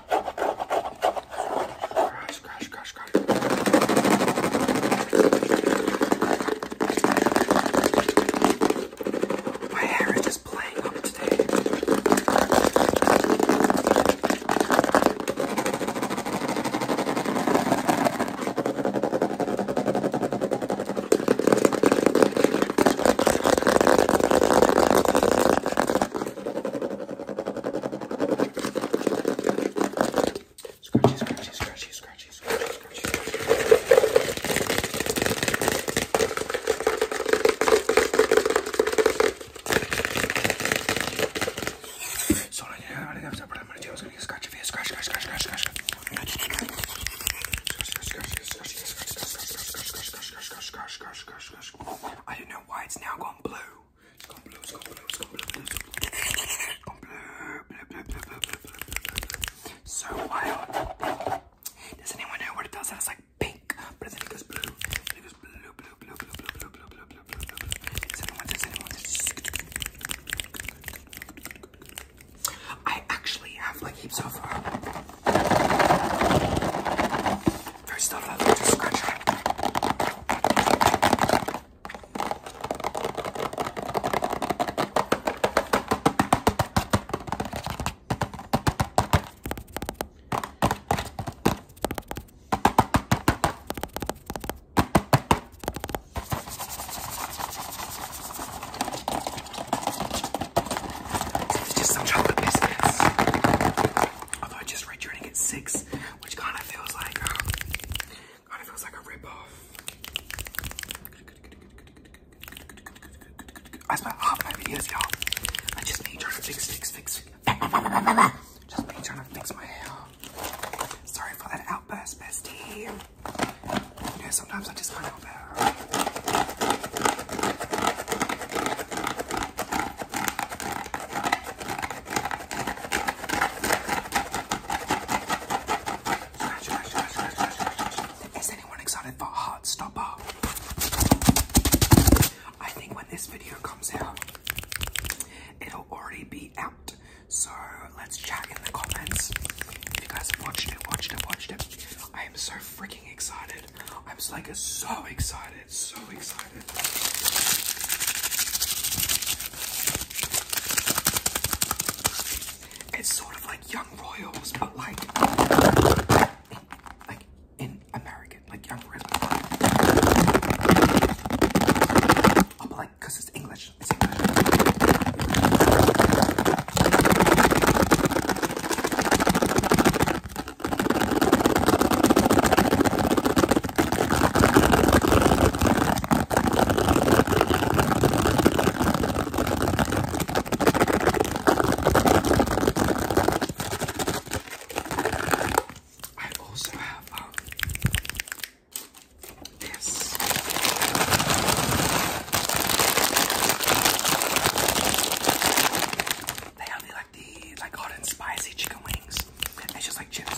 Crash, crash, crash, crash. My hair is just playing up today. Scratchy, scratchy, scratchy, scratchy, scratchy, scratchy, scratchy. So I didn't have to put on my I was gonna get scratchy face, scratch, scratch, scratch, scratch, scratch. I don't know why it's now going blue. It's gone blue. It's gone blue. It's gone blue. It's gone blue. Blue, blue, blue, blue, blue, blue, blue, blue. So wild. Does anyone know what it does? It's like pink, but then it goes blue. It goes blue, blue, blue, blue, blue, blue, blue, blue, blue, blue, blue. Does anyone? Does anyone? I actually have like heaps of. First off, I'd like to scratch her. It's just some chocolate biscuits. Although I just just returning at six, which kind of feels like um, kind of feels like a ripoff. I spent half my videos, y'all. I just me trying to fix, fix, fix. Just me trying to fix my hair. Sorry for that outburst, bestie. You know, sometimes I just can't help it. Is anyone excited for Heartstopper? I think when this video comes out, it'll already be out. So let's chat in the comments. If you guys have watched it, watched it, watched it. I am so freaking excited. I'm like so excited, so excited. It's sort of like Young Royals, but like, like in American, like Young Royals. Oh, but like, it's English. I also have um, this. They only like like the like hot and spicy chicken wings. It's just like chips.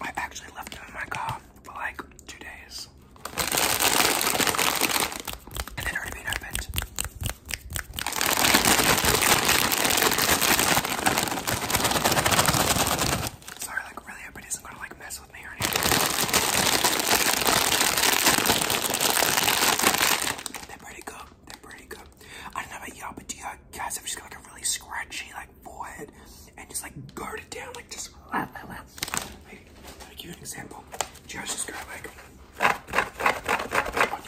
i actually left them in my car for like two days. And they'd already opened. Sorry, like really hope isn't gonna like mess with me or anything. They're pretty good. They're pretty good. I don't know about y'all, but do you guys ever just got like a really scratchy like forehead and just like guard it down, like just like, give you an example. Josh is gonna like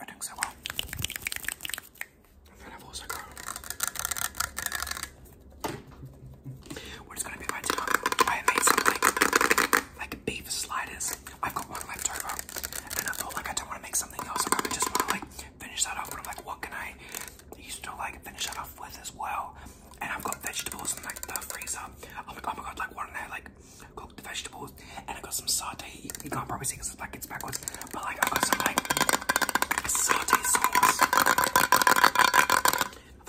I think so well. And then i is gonna be my I made something like beef sliders. I've got one left and I thought like I don't want to make something else. I probably just want to like finish that off. But I'm like, what can I use to like finish that off with as well? And I've got vegetables in like the freezer. I'm oh like, oh my god, like what can I like cooked the vegetables, and I got some satay. You, can't probably see because it's like backwards, but like I got some like satay sauce. I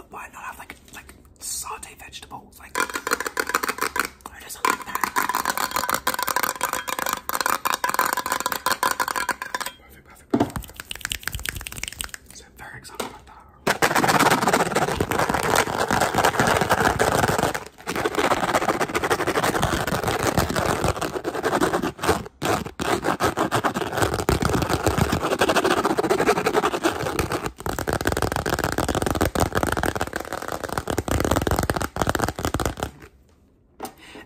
why not have like like satay vegetables? Like Perfect, perfect, perfect. So i very excited about that.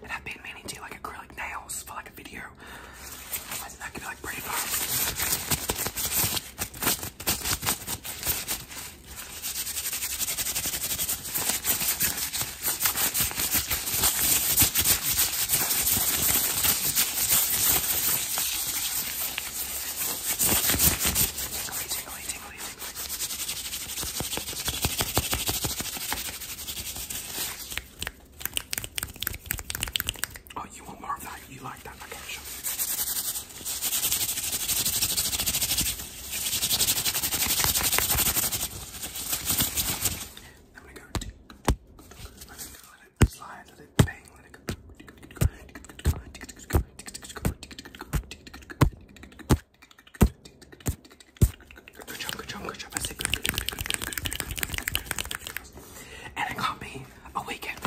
And I've been meaning to do like acrylic nails for like a video. I think that could be like pretty fun. Oh, you want more of that? You like that? Okay, sure. I'm Let it go, let it slide, let it bang, let it go. And it got me a weekend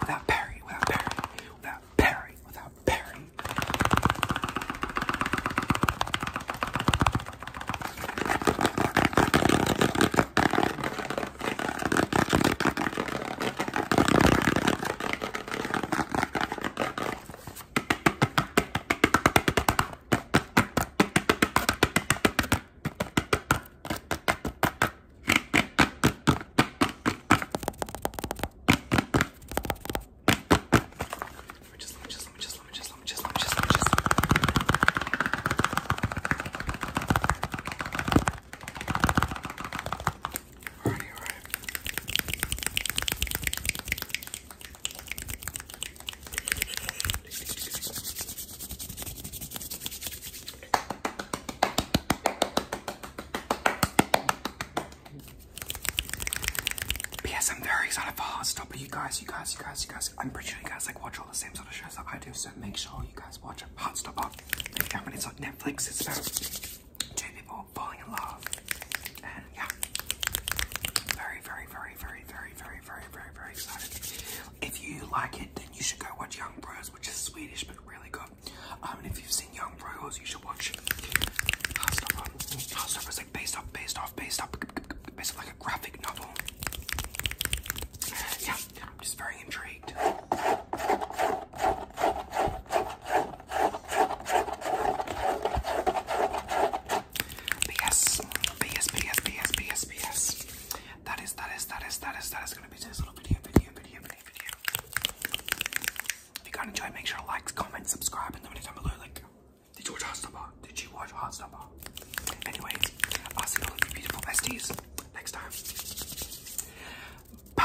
Without Perry, without Perry, without without Perry, without Perry. Let me just, let me just, let me just, let me just, let me just, let me just, let me just. All right, all right. P.S. I'm very excited for Heartstopper. You guys, you guys, you guys, you guys. I'm pretty sure you guys like watch all the same sort of shows that I do, so make sure you guys watch it. Heartstopper. Yeah, but it's on Netflix. It's about two people falling in love, and yeah, very, very, very, very, very, very, very, very, very excited. If you like it, then you should go watch Young Bros, which is Swedish but really good. Um, and if you've seen Young Royals, you should watch Hustler. is like based off, based off, based off, based off like a graphic novel. Yeah, I'm just very intrigued. BS, BS, BS, BS, BS, BS. That is, that is, that is, that is, that is gonna be today's little video, video, video, if you guys enjoyed, make sure to like, comment, subscribe, and leave notice down below. Like, did you watch Hot Heartstopper? Did you watch Hot Heartstopper? Anyways, I'll see all of you beautiful besties next time. Bye.